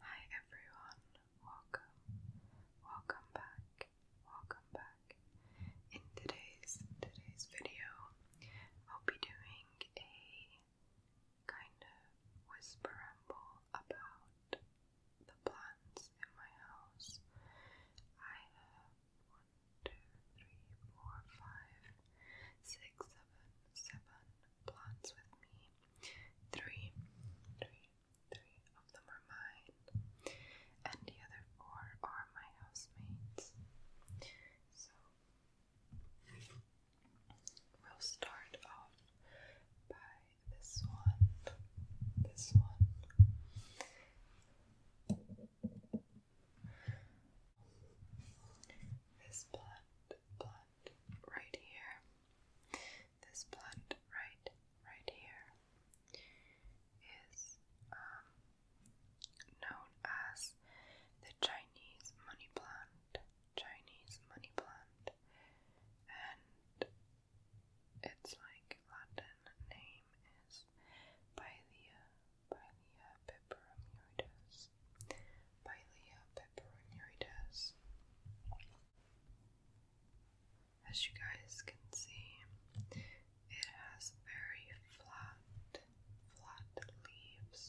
Hi everyone, welcome, welcome back, welcome back. In today's today's video, I'll be doing a kind of whisper ramble about the plants in my house. I have one, two, three, four, five, six, seven, plots with me. Three, three, three of them are mine, and the other four are my housemates. So we'll start off by this one, this one. This blunt, blunt right here. This blunt right, right here is um, known as the Chinese money plant. Chinese money plant, and its like Latin name is Pailia Pylea peperomurides. Pylea peperomurides. As you guys can see, it has very flat, flat leaves,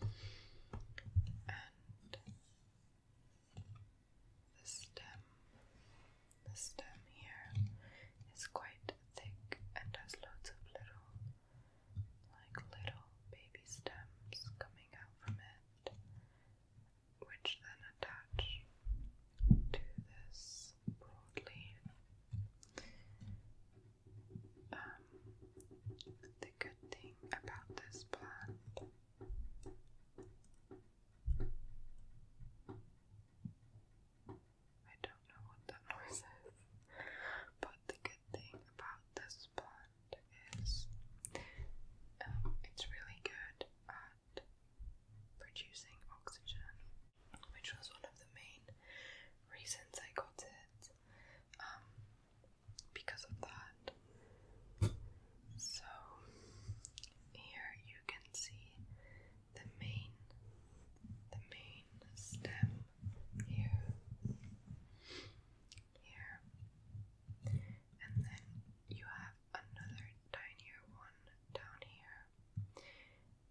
and the stem, the stem here is quite thick and has loads of little like little baby stems coming out from it, which then attach to this broad leaf. Um, the good thing about this plant. I don't know what that noise is, but the good thing about this plant is um, it's really good at producing oxygen, which was one of the main reasons I got it. Um, because of that. So here you can see the main the main stem here, here, and then you have another tinier one down here,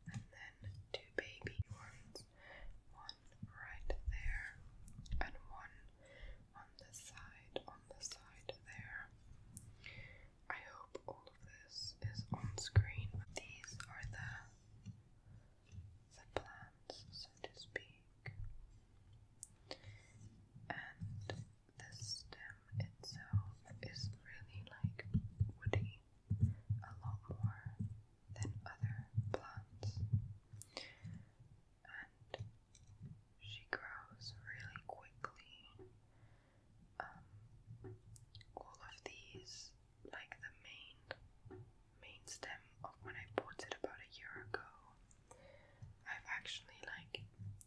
and then two baby ones, one right there, and one on the side, on the side there. I hope all of this is on screen. These are the the plants, so to speak. And the stem itself is really like woody, a lot more than other plants. And she grows really quickly. Um, all of these, like the main main stem of when I bought it about a year ago. I've actually like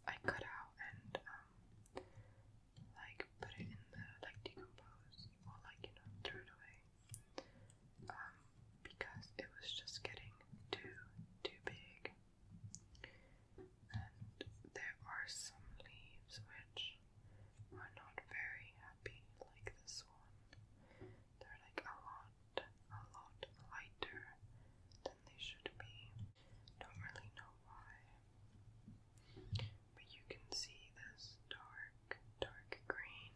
I cut out and um like put it in the like decompose or like you know threw it away. Um because it was just getting too too big. And there are some leaves which are not very happy like this one. They're like a lot, a lot lighter than they should be. Don't really know why. But you can see this dark, dark green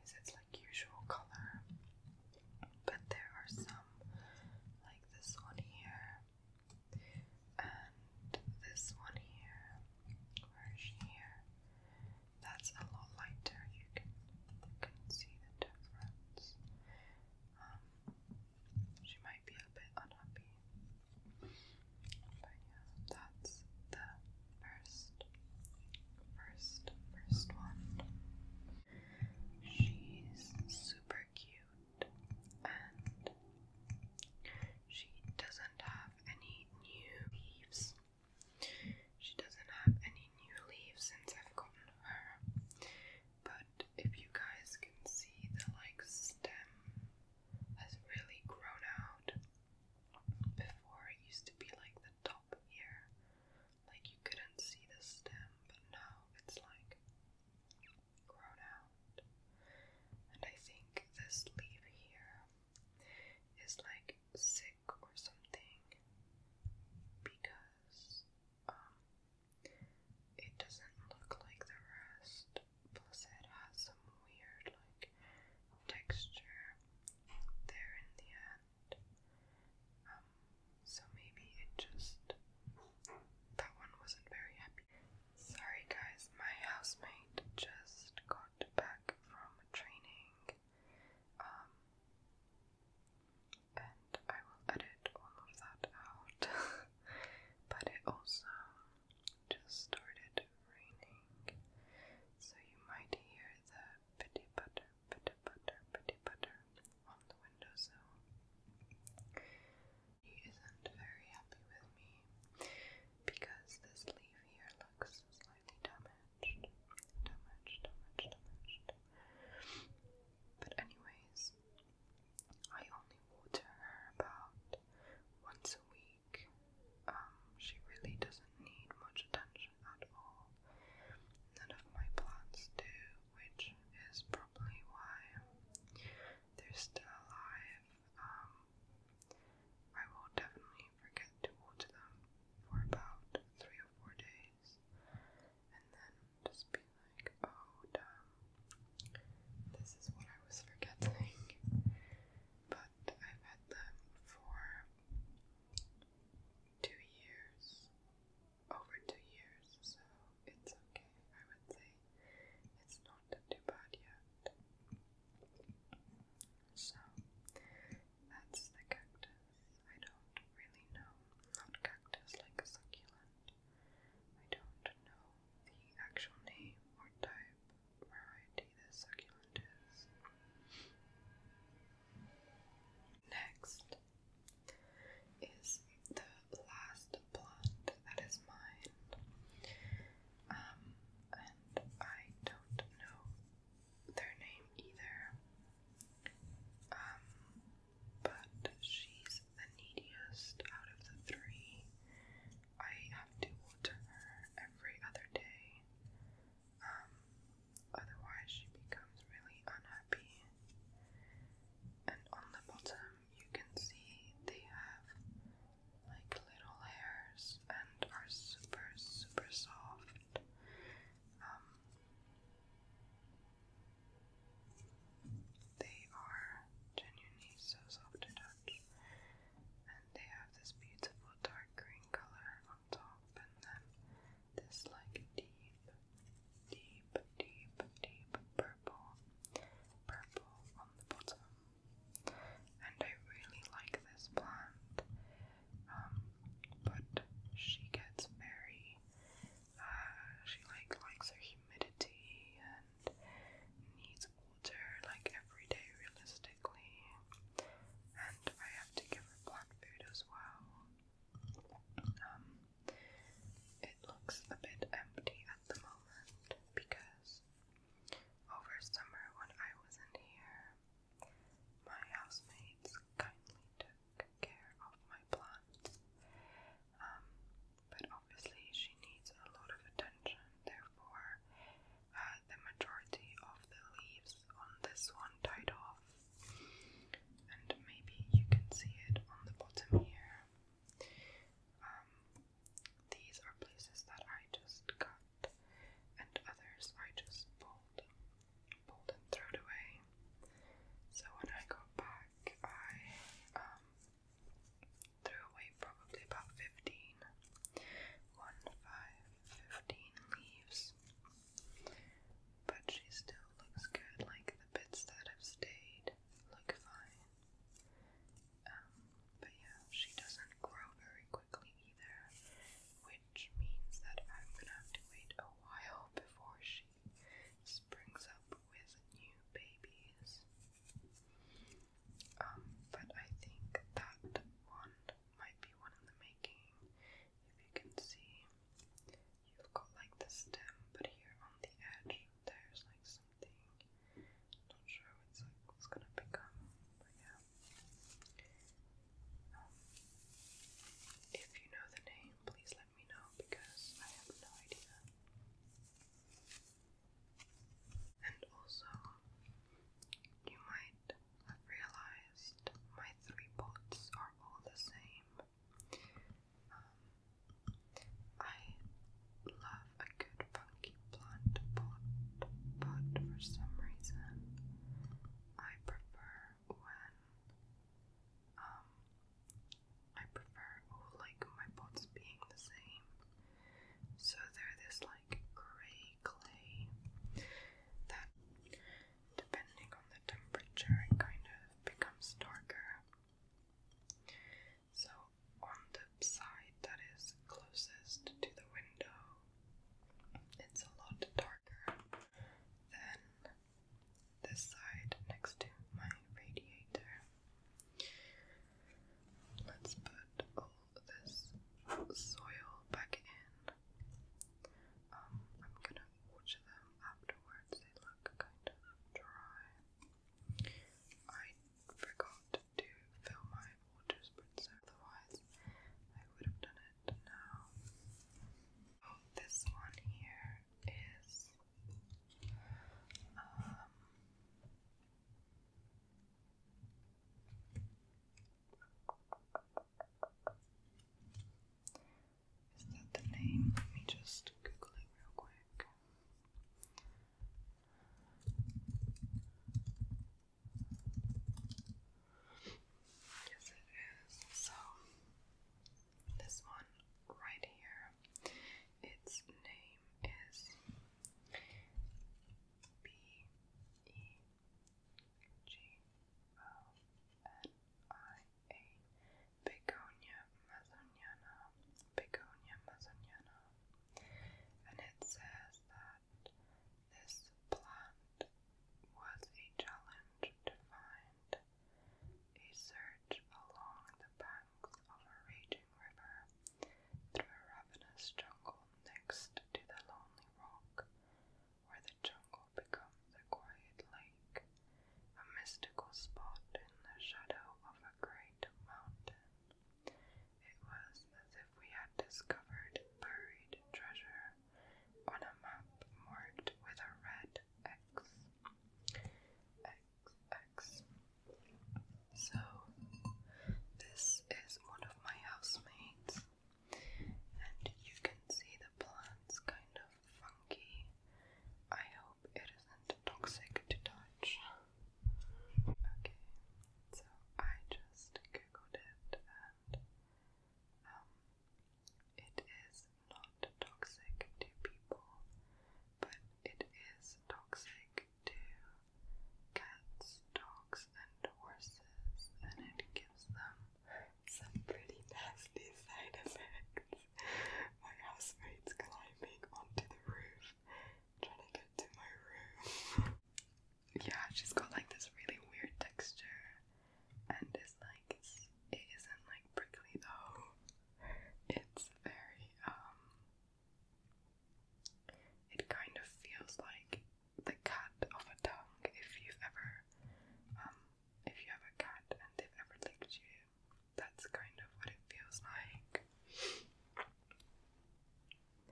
is its like usual color. But there are some like this one here. And this one here, version here that's a lot lighter. You can, see the difference. Um, she might be a bit unhappy, but yeah, that's the first, first, first one. She's super cute she doesn't have any new leaves. She doesn't have any new leaves since I've gotten her. But if you guys can see, the like stem has really grown out. Before it used to be like the top here, like you couldn't see the stem, but now it's like grown out. And I think this leaf here is like sick or something because um it doesn't look like the rest plus it has some weird like texture there in the end um so maybe it just that one wasn't very happy sorry guys my housemate just got got back from training, um, and I will edit all of that out. but it also just started raining, so you might hear the pitty butter, pitty butter, pitty butter on the windowsill. He isn't very happy with me because this leaf here looks slightly damaged. Damaged, damaged, damaged. But, anyways, I only water her about once a week. Um, she really doesn't need much attention at all. None of my plants do, which is probably why they're still alive. Um, I will definitely forget to water them for about three or four days, and then just be like, oh, damn, this is what I was forgetting. But I've had them for two years, over two years, so it's okay. I would say it's not too bad yet. So that's the cactus. I don't really know, not cactus like a succulent. I don't know the actual name or type variety this succulent is. Next is the last plant that is mine um, and I don't know their name either. Um, but she's the neediest out of the three. I have to water her every other day. Um, otherwise she becomes really unhappy. And on the bottom you can see they have like little hairs and are super, super soft. Um, they are genuinely so soft to touch, and they have this beautiful dark green color on top, and then this like deep, deep, deep, deep purple, purple on the bottom and I really like this plant. Um, but she gets very, uh, she like likes her humidity and needs water like every day realistically. And I have to give her black food as well. Um, it looks a bit empty at the moment because over summer, when I wasn't here, my housemates kindly took care of my plants. Um, but obviously, she needs a lot of attention, therefore, uh, the majority of the leaves on this one died off. And maybe you can see it on the bottom here. Um, these are places that I just cut, and others I just pulled, pulled and threw away. So when I go back, I um, threw away probably about 15, 1, 15 leaves. But she still looks good, like the bits that have stayed look fine. Um, but yeah, she doesn't grow very quickly either, which means that I'm gonna have to wait a while before she springs up with new babies. Um, but I think that one might be one in the making. If you can see, you've got like the stem, but here on the edge, there's like some something. Not sure what's like what's gonna become, yeah. if you know the name, please let me know because I have no idea. And also, you might have realized my three pots are all the same. Um, I love a good funky plant pot, but for some reason I prefer when um I prefer oh, like my pots being the same. So they this like grey clay that depending on the temperature kind of becomes darker. So, on the side that is closest to the window, it's a lot darker than this side next to my radiator. Let's put all this soil back in. Um, I'm gonna water them afterwards, they look kind of dry. I forgot to film my Waters Princess, otherwise I would have done it now. Oh, this one here is um, is that the name? Let me just Google it real quick. Yes, it is. So, this one right here, its name is B E G O N I A Begonia Mazoniana, Begonia Mazoniana, and it says that this plant was a challenge to find a search along the banks of a raging river through a ravenous jungle next to the lonely rock where the jungle becomes a quiet lake, a mystical spot in the shadow of a great mountain. It was as if we had discovered buried treasure on a map marked with a red X. X, X. So, this is one of my housemates, and you can see the plants kind of funky. I hope it toxic to touch. Okay, so I just googled it and um, it is not toxic to people, but it is toxic to cats, dogs, and horses, and it gives them some pretty nasty side effects my housemates climbing onto the roof, trying to get to my room. yeah, she's got like this really weird texture, and it's like it's, isn't like prickly though. It's very um. It kind of feels like the cut of a tongue. If you've ever um, if you have a cat and they've ever licked you, that's kind of what it feels like.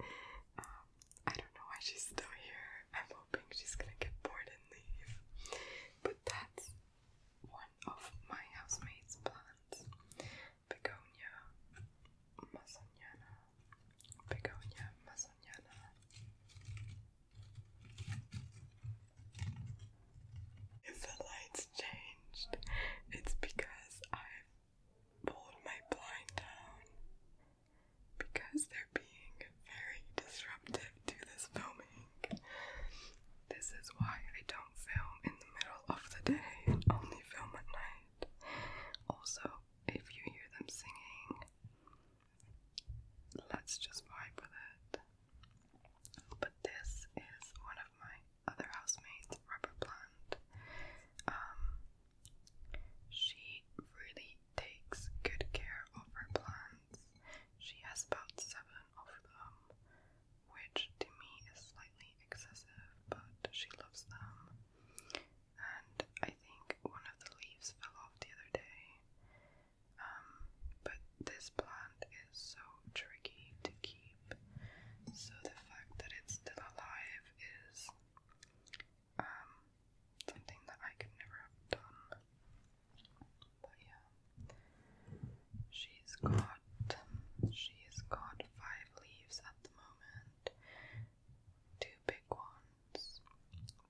Um, I don't know why she's still here. I'm hoping she's gonna get bored and leave. But that's one of my housemate's plants. Begonia masoniana. Begonia masoniana. If the lights changed, it's because I pulled my blind down because they're being very disruptive to this filming. This is why I don't film in the middle of the day, and only film at night. Also, if you hear them singing, let's just vibe with it. But this is one of my other housemate's rubber plant. Um, she really takes good care of her plants. She has about seven of them, which to me is slightly excessive, but she loves them. And I think one of the leaves fell off the other day. Um, but this this plant is so tricky to keep. So the fact that it's still alive is um, something that I could never have done. But yeah. She's got she's got five leaves at the moment. Two big ones.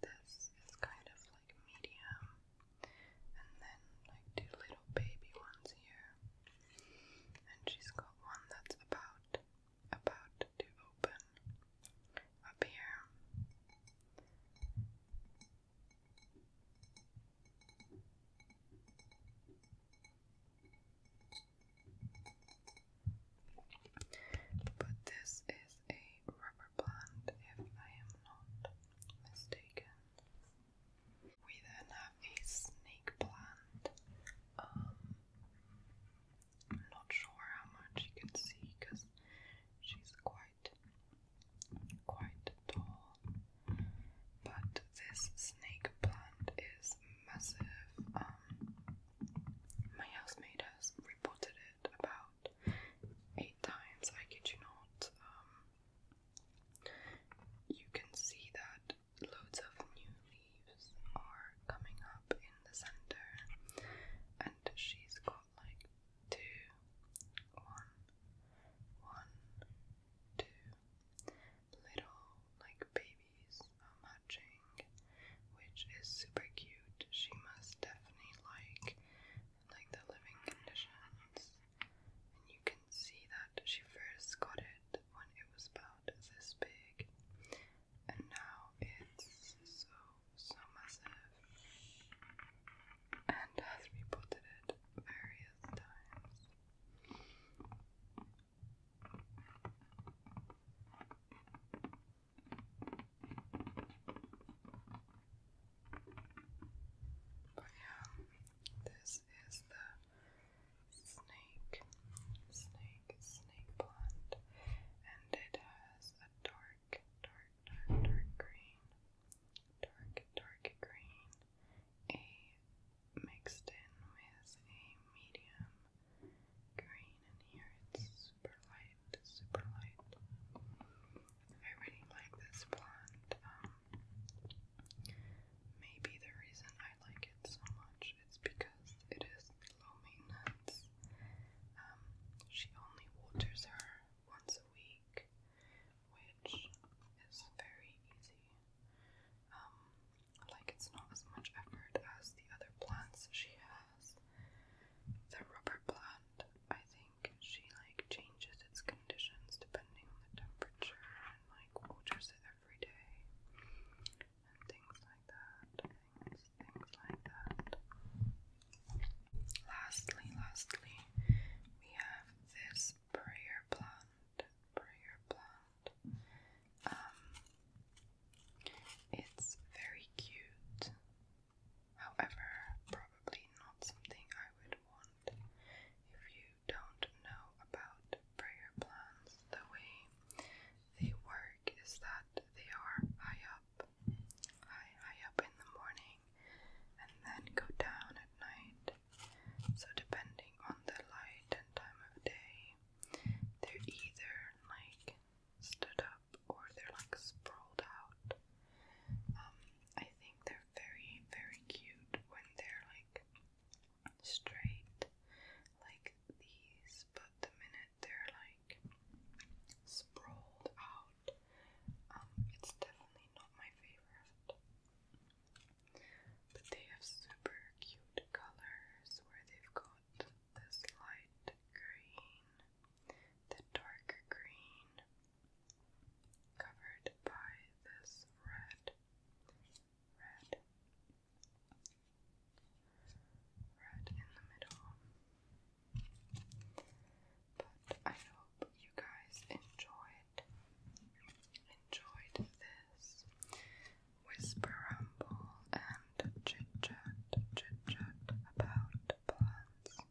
This is kind of like medium and then like two little baby ones here. And she's got one that's about about to open up here. But this is a rubber plant, if I am not mistaken. We then have a snake plant. Um, not sure how much you can see because she's quite, quite tall. But this snake plant is massive. Um, my housemate has reported it about eight times. I kid not. Um, you can see that loads of new leaves are coming up in the center, and she's got like two, one, one, two little like babies are matching, which is super cute. She must definitely like like the living conditions, and you can see that she first got it when it was about this big, and now it's so, so massive and has repotted it various times. But oh, yeah, this is the snake, snake, snake blonde, and it has a dark, dark, dark, dark green, dark, dark green, a mixed in with a medium green, and here it's super light, super light. I really like this blonde. Um, Maybe the reason I like it so much is because it is low maintenance. Um, she only waters her once a week, which is very easy. Um, like it's not as much effort as the other plants she has. The rubber plant I think she like changes its conditions depending on the temperature and like waters every day and things like that. things like that. Lastly, lastly, we have this prayer plant. Prayer plant. Um, it's very cute. However, probably not something I would if you don't know about prayer plans, the way they work is that they are high up, high, high up in the morning, and then go down at night. So, depending on the light and time of day, they're either like stood up or they're like sprawled out. Um, I think they're very, very cute when they're like straight, like these, but the minute they're like sprawled out, um, it's definitely not my favorite. But they have super cute colors where they've got this light green, the darker green, covered by this red, red, red in the middle. But I hope you guys enjoyed enjoyed this whisper rumble and chit chat chit chat about plants.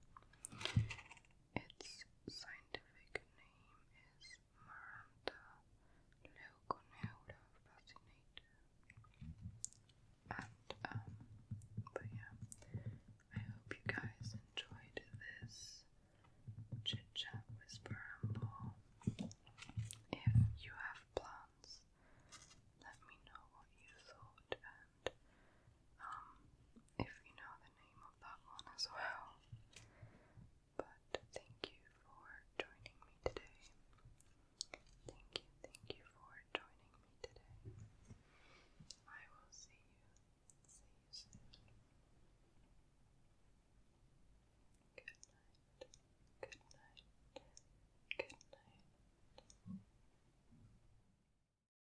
Its scientific name is Maranta leuconeura fascinata. And, um, but yeah, I hope you guys enjoyed this chit chat whisper ramble. If you have plans, let me know what you thought um, if you know the name of that one as well. But thank you for joining me today. Thank you, thank you for joining me today. I will see you, see you Good night, good night, good night.